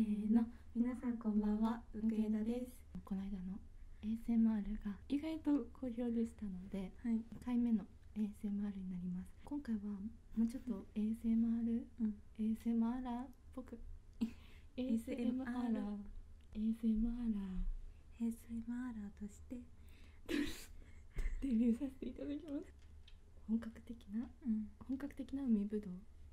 せの皆さんこんばんは福枝ですこの間の ASMR が意外と好評でしたので、1回目の ASMR になります今回はもうちょっと ASMR、うん、ASMR っ ASMR ASMR ASMR としてデビューさせていただきます本格的な、うん、本格的な海ぶどう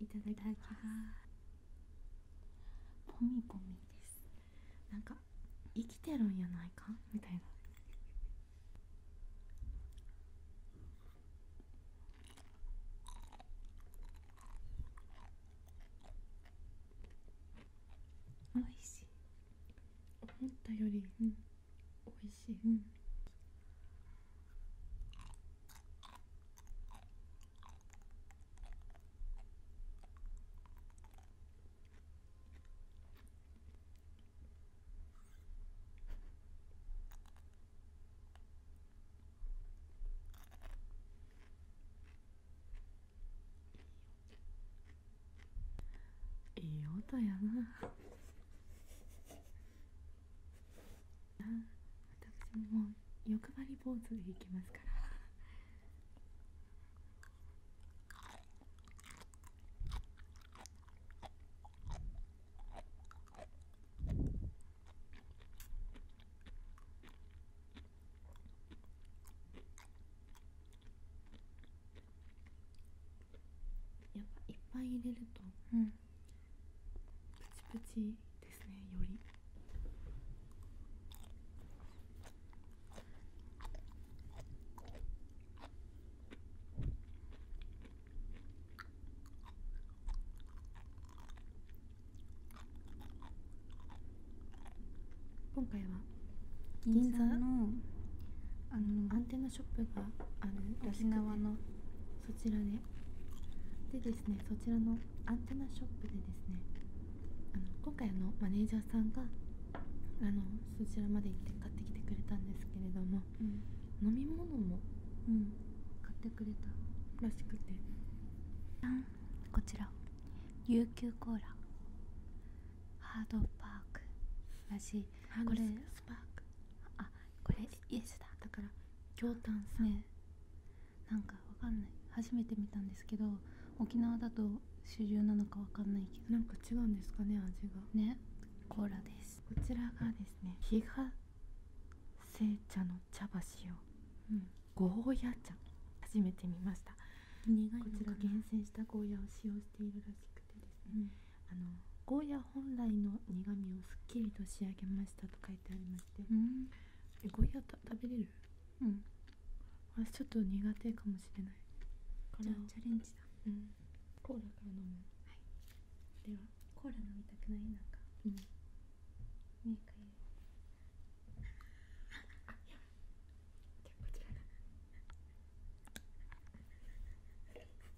いただきますポミポミですなんか生きてるんやないかみたいな美味しい思ったよりうん美味しい、うんいい音やなあ私も欲張り坊主でいきますからやっぱいっぱい入れると、うん、プチプチですねより今回は銀座のあのアンテナショップがある沖縄のそちらででですねそちらのアンテナショップでですねあの今回のマネージャーさんがあのそちらまで行って買ってきてくれたんですけれども、飲み物も、うん、買ってくれたらしくてこちら琉球コーラハードパークらしいこれスパークあこれイエスだだから京丹さん、ね、なんかわかんない初めて見たんですけど沖縄だと主流なのかわかんないけどなんか違うんですかね味がねコーラですこちらがですね比嘉製茶の茶葉使うん、ゴーヤ茶初めて見ましたこちら厳選したゴーヤを使用しているらしくてですね、あのゴーヤ本来の苦みをすっきりと仕上げましたと書いてありまして、うん、えゴイヤた食べれるうん私ちょっと苦手かもしれないこれはチャレンジだうんコーラから飲むはいではコーラ飲みたくないなんかうんメーカじゃあこちらが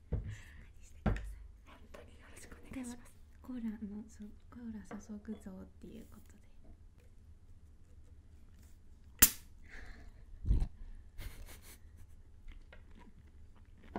コーラのコーラ注ぐぞっていうことであ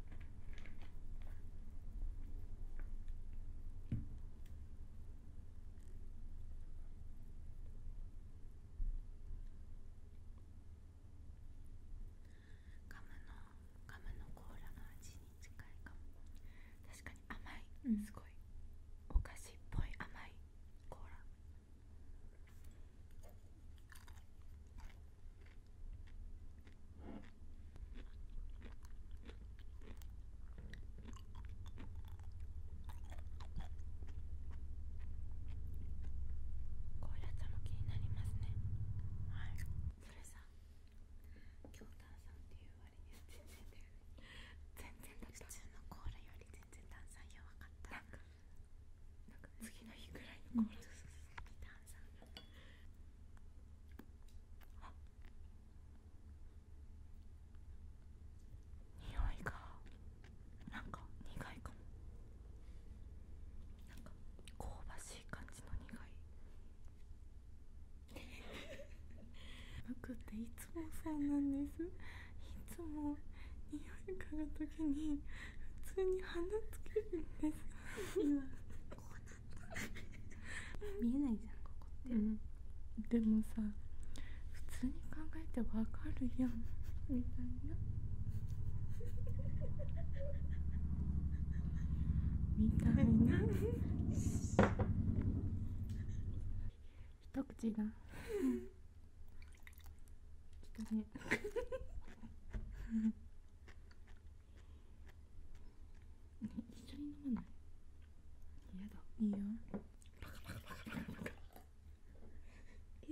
カムのカムのコーラの味に近いかも確かに甘い、すごいお菓子っぽい甘いコーラこうやったも気になりますねはいそれさ京丹さんっていう割には全然だよ全然普通のコーラより全然炭酸弱かったなか次の日ぐらいの頃、うん、炭酸あ匂いがなんか苦いかもなんか香ばしい感じの苦い僕っていつもそうなんですいつも匂い嗅ぐときに普通に鼻つけるんです見えないじゃんここって、でもさ普通に考えてわかるやんみたいなみたいな一口がちょっとね一緒に飲まない嫌だいいよパカパカパカパカバカ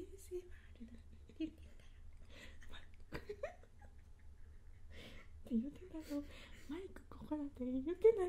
ASMR だ出るからって言うてたのマイクここだって言うてない。あ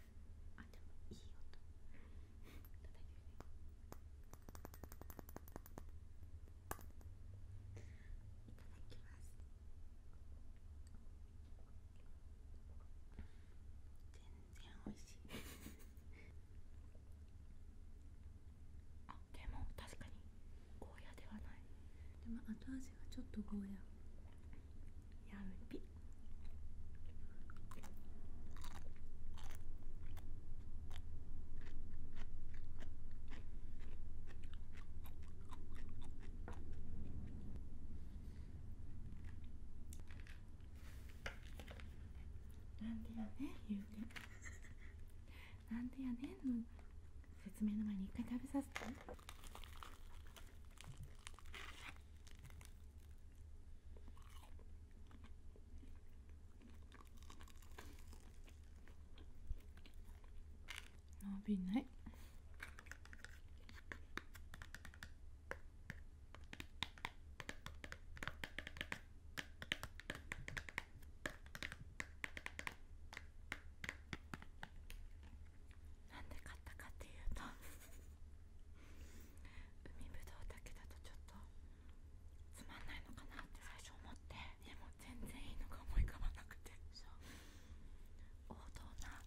あでもいい音いただきます全然おいしいあでも確かにゴーヤではないでも後味がちょっとゴーヤやんぴなんでやねんゆうてなんでやねん説明の前に一回食べさせて。伸びないなんで買ったかっていうと 海ぶどうだけだとちょっとつまんないのかなって最初思ってでも全然いいのが思い浮かばなくてそう王道な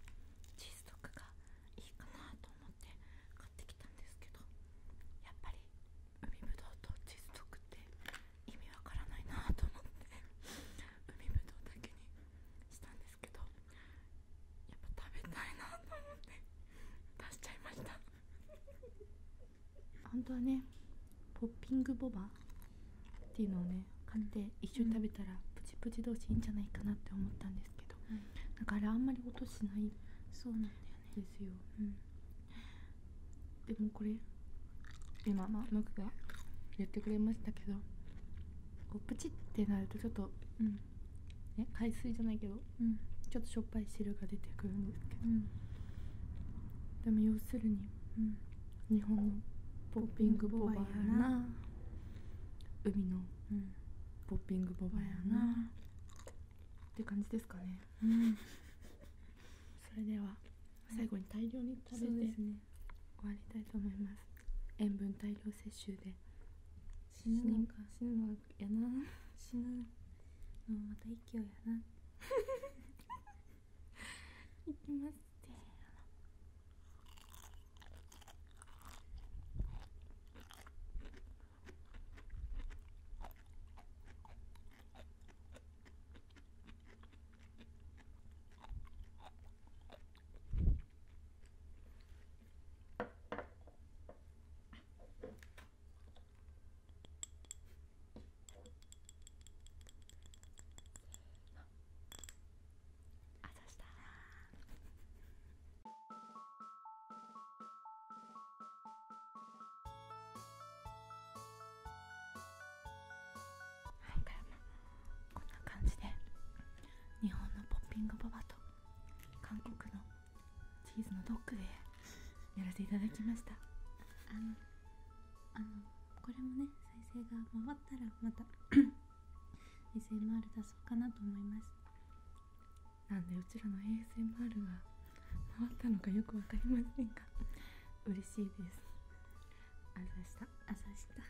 チーズドッがいいかなと思って買ってきたんですけどやっぱり海ぶどうとチーズドッって意味わからないなと思って海ぶどうだけにしたんですけど。やっぱ食べたいなと思って出しちゃいました本当はねポッピングボバっていうのをね買って一緒に食べたらプチプチ同士いいんじゃないかなって思ったんですけど、うん、だからあんまり音しないそうなんだよねですよ、うん、でもこれ今まあムクが言ってくれましたけどこうプチってなるとちょっと、うん、ね、海水じゃないけど、うん、ちょっとしょっぱい汁が出てくるんですけど、でも要するに、日本のポッピングボバやな海の、ポッピングボバやなって感じですかね、うん、それでは最後に大量に食べて、ね、終わりたいと思います塩分大量摂取で死ぬのか死ぬのやな死ぬのまた息をやない きますってあざしたらはいこんな感じで日本のポッピングババと韓国のチーズのドッグでやらせていただきましたあのあのこれもね再生が回ったらまた ASMR 出そうかなと思いますなんでうちらの ASMR が回ったのかよく分かりませんが嬉しいですあざした